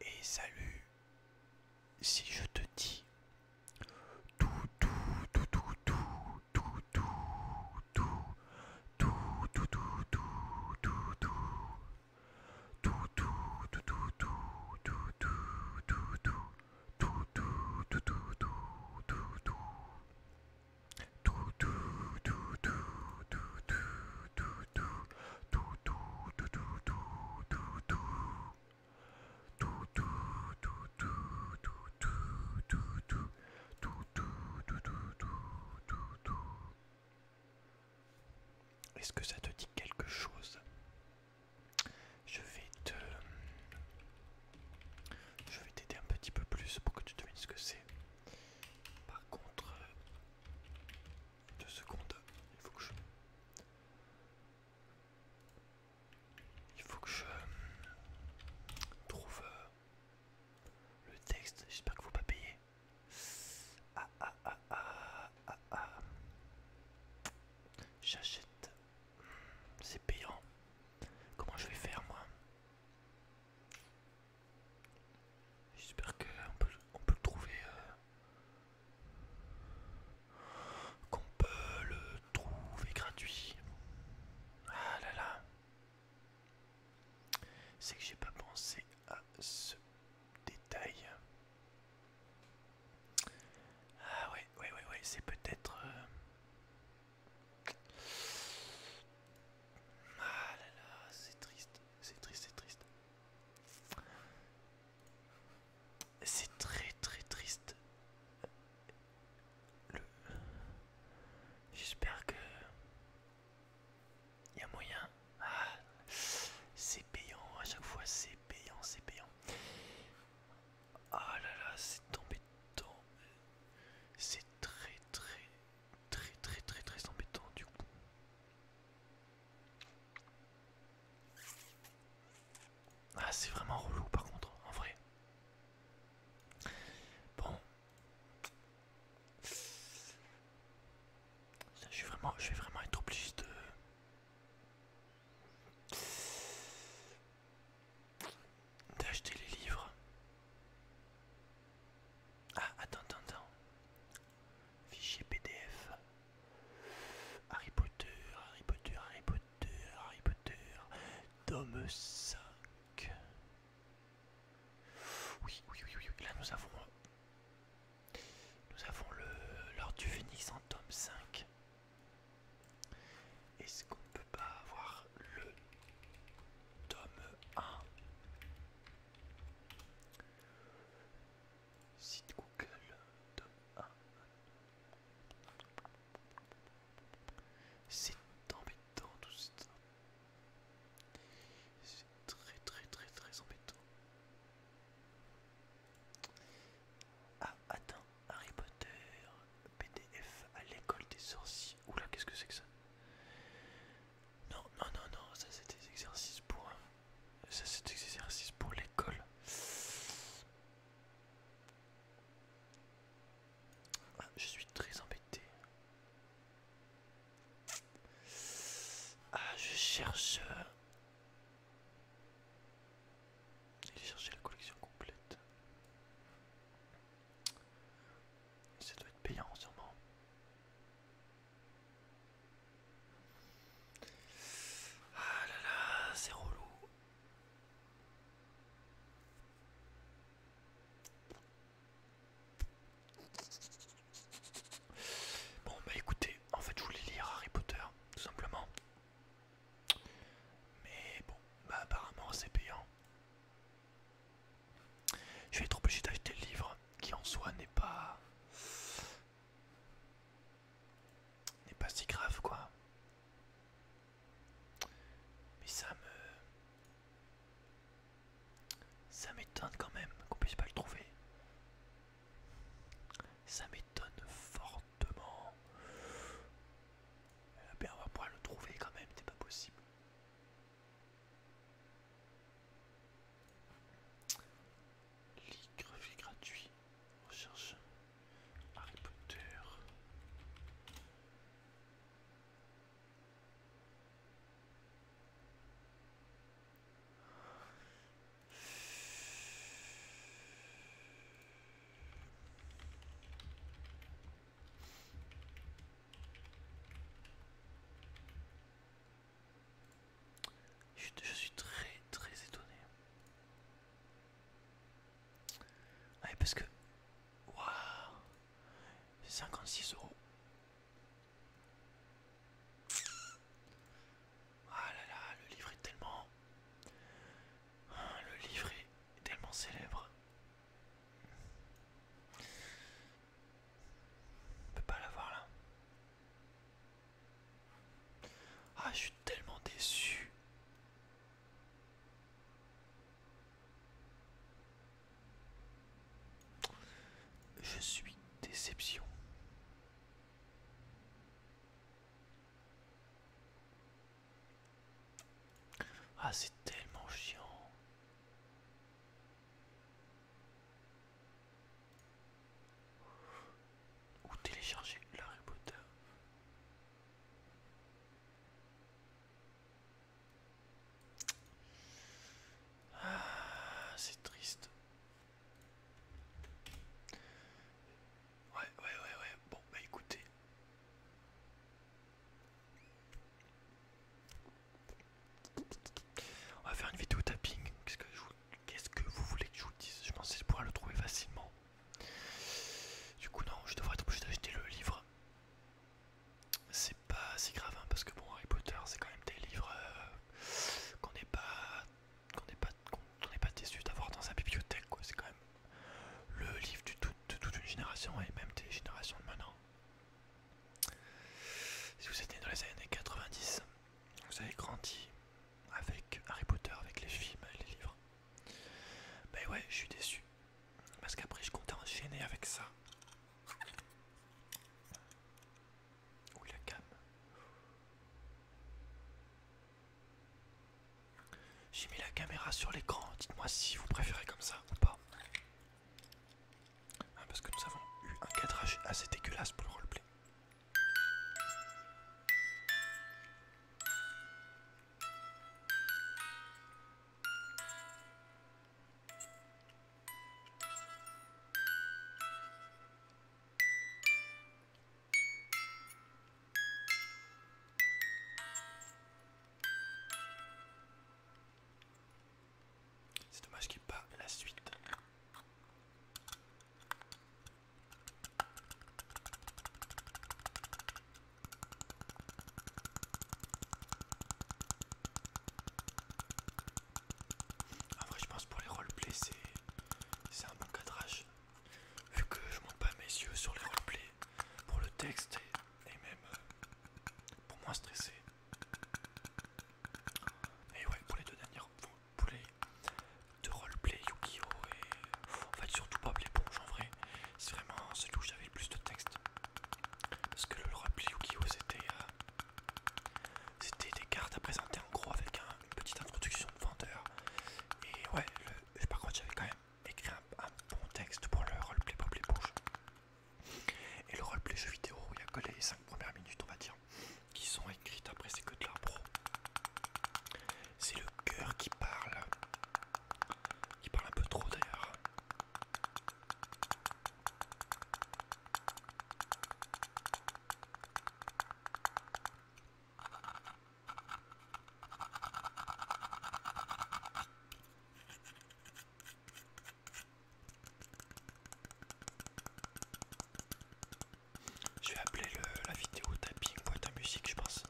Et salut, si je te dis tout, tout, tout, tout, tout, tout, tout, tout, tout, tout, est-ce que ça te dit quelque chose Je vais te... Je vais t'aider un petit peu plus pour que tu devines ce que c'est. Par contre, deux secondes. Il faut que je... Il faut que je trouve le texte. J'espère que vous pas payer. Ah ah ah ah ah J'achète. C'est payant. Comment je vais faire moi J'espère qu'on peut, on peut le trouver qu'on peut le trouver gratuit. Ah là là. C'est que j'ai pas pensé à ce détail. Ah ouais, ouais, ouais, ouais, c'est peut-être... Euh, ah là là, c'est triste, c'est triste, c'est triste. C'est très très triste. Le... J'espère que... Il y a moyen. Ah, c'est payant, à chaque fois c'est payant, c'est payant. Ah là là, c'est embêtant. C'est très très très très très très embêtant du coup. Ah, c'est vraiment relou par contre, en vrai. Bon. je, suis vraiment, je vais vraiment être obligé de... D'acheter les livres. Ah, attends, attends, attends. Fichier PDF. Harry Potter, Harry Potter, Harry Potter, Harry Potter. Tome 5. Oui, oui, oui, Là nous avons... Nous avons le l'ordre du phoenix en tome 5. Est-ce qu'on peut pas avoir le tome 1 Site Google, C'est embêtant tout ça. C'est très très très très embêtant. Ah, attends, Harry Potter, PDF à l'école des sorciers. Oula, qu'est-ce que c'est que ça Non, non, non, non, ça c'est des exercices pour... Un c'est cet exercice pour l'école. Ah, je suis très embêté. Ah, je cherche. Il euh, cherché la collection complète. Ça doit être payant, sûrement. Ah là là, c'est relou. Bon bah écoutez, en fait je voulais lire Harry Potter, tout simplement. Mais bon, bah apparemment c'est payant. Je vais être obligé d'acheter le livre qui en soi n'est pas n'est pas si grave quoi. Mais ça me... Ça m'étonne quand même qu'on puisse pas le trouver. Ça m'étonne fortement. Eh bien, on va pouvoir le trouver quand même, c'est pas possible. Lit gratuit. Recherche Harry Potter. Je, suis très très étonné. parce que. Waouh 56 euros. Ah là là, le livre est tellement. Le livre est tellement célèbre. On peut pas l'avoir là. Ah, je suis tellement déçu. Je suis déception. Ah, c'est tellement chiant ou télécharger la Potter. Ah, c'est triste. Ouais, ouais, ouais, ouais. Bon, bah écoutez. On va faire une vidéo tapping. quest que je Qu'est-ce que vous voulez que je vous dise Je pensais pouvoir le trouver facilement. Du coup, non, je devrais être obligé d'acheter le livre. C'est pas si grave, hein, parce que bon, Harry Potter, c'est quand même des livres euh, qu'on n'est pas, qu'on n'est pas, qu'on pas déçu d'avoir dans sa bibliothèque, quoi. C'est quand même le livre de toute une génération et même des générations de maintenant. Si vous êtes dans les années 90, vous avez grandi avec Harry Potter, avec les films et les livres. ben ouais, je suis déçu. Parce qu'après, je comptais enchaîner avec ça. Où la cam J'ai mis la caméra sur l'écran. Dites-moi si vous préférez comme ça ou pas. Hein, parce que nous avons eu un cadrage assez dégueulasse pour le roleplay. C'est dommage qu'il n'y ait pas la suite. En vrai, je pense pour les roleplays, c'est un bon cadrage. Vu que je monte pas mes yeux sur les roleplays pour le texte et, même euh, pour moins stresser. Et ouais, pour les deux dernières, poulet de roleplay Yu-Gi-Oh! et en fait surtout Bob l'éponge en vrai, c'est vraiment celui où j'avais le plus de texte. Parce que le roleplay Yu-Gi-Oh! Euh, c'était des cartes à présenter en gros avec une petite introduction de vendeur. Et ouais, par contre j'avais quand même écrit un, bon texte pour le roleplay Bob l'éponge. Et le roleplay jeu vidéo, il y a que les 5 premières minutes on va dire qui sont écrites. Après, ces que de pro C'est le cœur qui parle. Qui parle un peu trop d'ailleurs. Je vais appeler la vidéo tapping boîte à musique, je pense.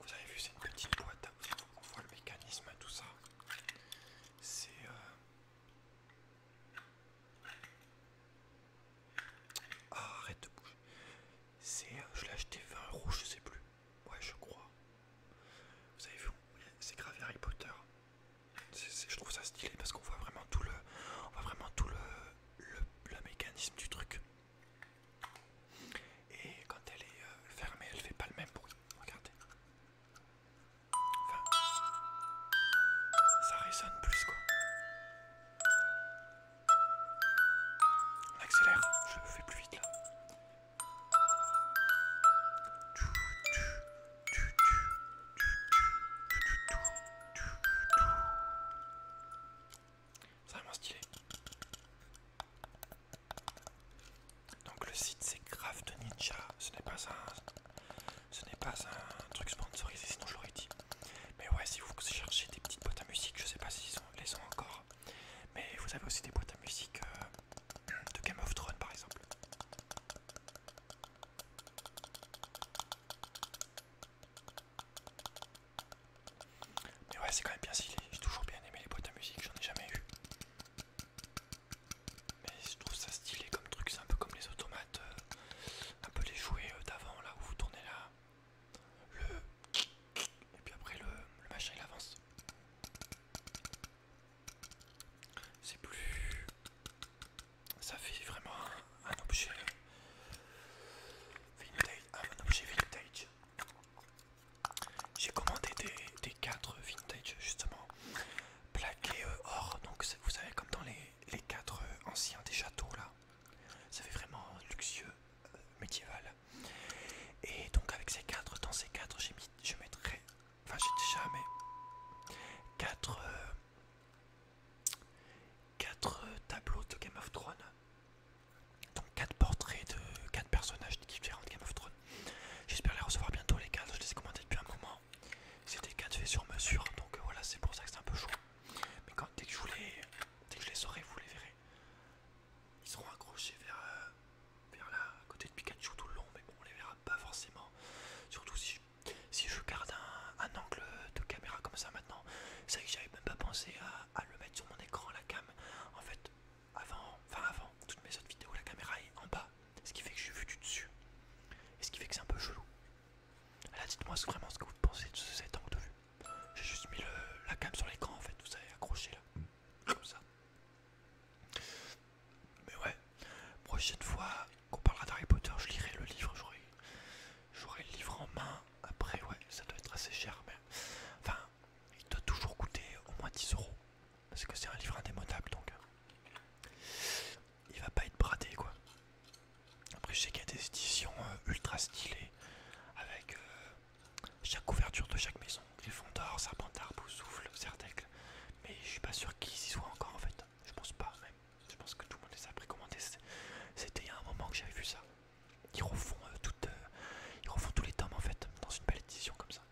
Vous avez vu, c'est une petite boîte. Hein. On voit le mécanisme, tout ça. C'est. Euh, ah, arrête de bouger. C'est. Euh, je l'ai acheté 20 euros, je sais plus. Ouais, je crois. Vous avez vu, c'est gravé Harry Potter je trouve ça stylé parce qu'on voit vraiment tout le, on voit vraiment tout le, mécanisme du truc. Et quand elle est euh, fermée, elle fait pas le même bruit. Regardez. Enfin, ça résonne plus quoi. On accélère, je fais plus vite là. C'est vraiment stylé. Donc le site c'est Craft Ninja, ce n'est pas un ce n'est pas un truc sponsorisé sinon je l'aurais dit. Mais ouais, si vous cherchez des petites boîtes à musique, je sais pas s'ils les sont encore. Mais vous avez aussi des boîtes à musique euh, de Game of Thrones par exemple. Mais ouais, c'est quand même bien stylé. J'ai toujours bien aimé les boîtes à musique, j'en ai jamais eu. Mais je trouve ça stylé comme truc, c'est un peu comme les automates, euh, un peu les jouets euh, d'avant là où vous tournez là. Le. Et puis après le machin il avance. C'est plus ça fait vraiment un, objet euh, vintage. Ah, vintage. J'ai commandé des, quatre vintage justement plaqués euh, or, donc vous savez comme dans les, les cadres euh, anciens des châteaux là. Ça fait vraiment luxueux, médiéval. Et donc avec ces quatre, dans ces quatre, j'ai mis, je mettrai, enfin j'ai déjà mais quatre, 4 euh, tableaux de Game of Thrones. Donc 4 portraits de 4 personnages différents de Game of Thrones. J'espère les recevoir bientôt les 4, je les ai commentés depuis un moment. C'était 4 faits sur mesure, donc euh, voilà, c'est pour ça que c'est un peu chaud. Mais quand, dès, que je vous les, dès que les saurai, vous les verrez. Ils seront accrochés vers, euh, la vers là, à côté de Pikachu tout le long, mais bon, on les verra pas forcément. Surtout si je si je garde un, angle de caméra comme ça maintenant, c'est vrai que j'avais même pas pensé à, le mettre sur mon écran la cam. En fait, avant, enfin avant toutes mes autres vidéos, la caméra est en bas, ce qui fait que je suis vu du dessus, et ce qui fait que c'est un peu chelou. Alors dites-moi vraiment ce que vous pensez de cet angle de vue. J'ai juste mis la cam sur l'écran en fait, vous savez, accroché là, comme ça. Mais ouais, prochaine fois, on parlera d'Harry Potter, je lirai le livre, j'aurai le livre en main. Après, ouais, ça doit être assez cher, mais enfin, il doit toujours coûter au moins 10 euros parce que c'est un livre indémodable donc euh, il va pas être bradé quoi. Après, je sais qu'il y a des éditions euh, ultra stylées avec euh, chaque couverture de chaque maison Gryffondor, Serpentard, souffle, Sertècle, mais je suis pas sûr qu'ils y soient encore en fait. Je pense pas Je pense que tout le monde les a précommandés. C'était il y a un moment que j'avais vu ça. Euh, euh, ils refont, tous les tomes en fait, dans une belle édition comme ça.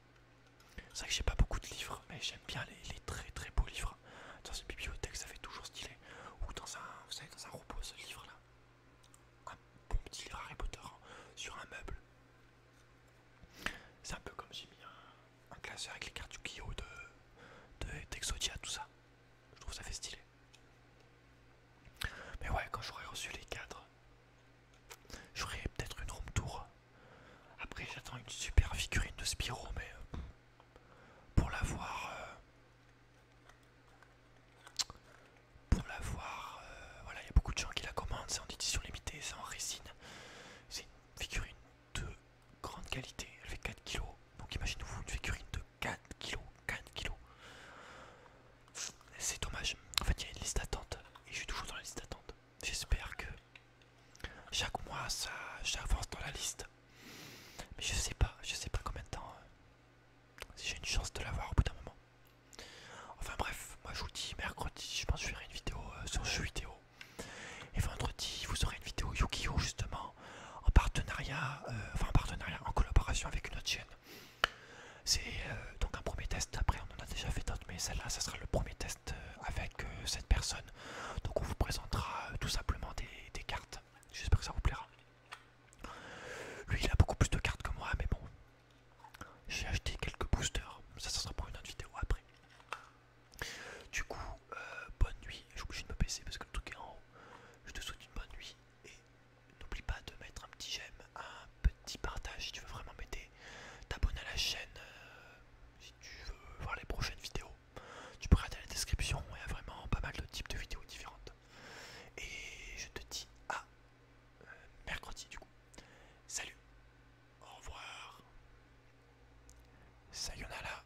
C'est vrai que j'ai pas beaucoup de livres, mais j'aime bien les, très très beaux livres. Dans une bibliothèque, ça fait toujours stylé. Ou dans un, vous savez, dans un ce livre là. Un bon petit livre Harry Potter hein, sur un meuble. C'est un peu comme j'ai mis un, classeur avec les cartes du de, d'Exodia, tout ça. Je trouve ça fait stylé. Mais ouais, quand j'aurai reçu les cadres, j'aurai peut-être une room tour. Après, j'attends une super figurine de Spiro, mais euh, pour l'avoir, euh, pour l'avoir, voir... Euh, voilà, il y a beaucoup de gens qui la commandent. C'est en édition limitée, c'est en résine. C'est une figurine de grande qualité, elle fait 4 kg. Donc imaginez-vous une figurine de 4 kg, C'est dommage. En fait, il y a une liste d'attente et je suis toujours dans la liste d'attente. J'espère que chaque mois ça j'avance dans la liste. Mais je sais pas, je sais pas combien de temps si euh, j'ai une chance de l'avoir au bout d'un moment. Enfin bref, moi je vous dis mercredi, je pense que je ferai une vidéo euh, sur jeu vidéo. Et vendredi, vous aurez une vidéo yu gi justement en, partenariat, euh, enfin en partenariat, en collaboration avec une autre chaîne. C'est euh, donc un premier test, après on en a déjà fait d'autres, mais celle-là, ça sera le premier test euh, avec cette personne. Donc on vous présentera tout simplement des, cartes. J'espère que ça vous plaira. Lui, il a beaucoup plus de cartes que moi, mais bon. J'ai acheté quelques boosters, ça, ça sera pour une autre vidéo après. Du coup, euh, bonne nuit. Je vous de me baisser parce que le truc est en haut. Je te souhaite une bonne nuit et n'oublie pas de mettre un petit j'aime, un petit partage si tu veux vraiment m'aider. T'abonner à la chaîne euh, si tu veux voir les prochaines vidéos. Tu peux regarder la description, il y a vraiment pas mal de types de vidéos différentes. Et je te dis à euh, mercredi du coup. Salut, au revoir, sayonara,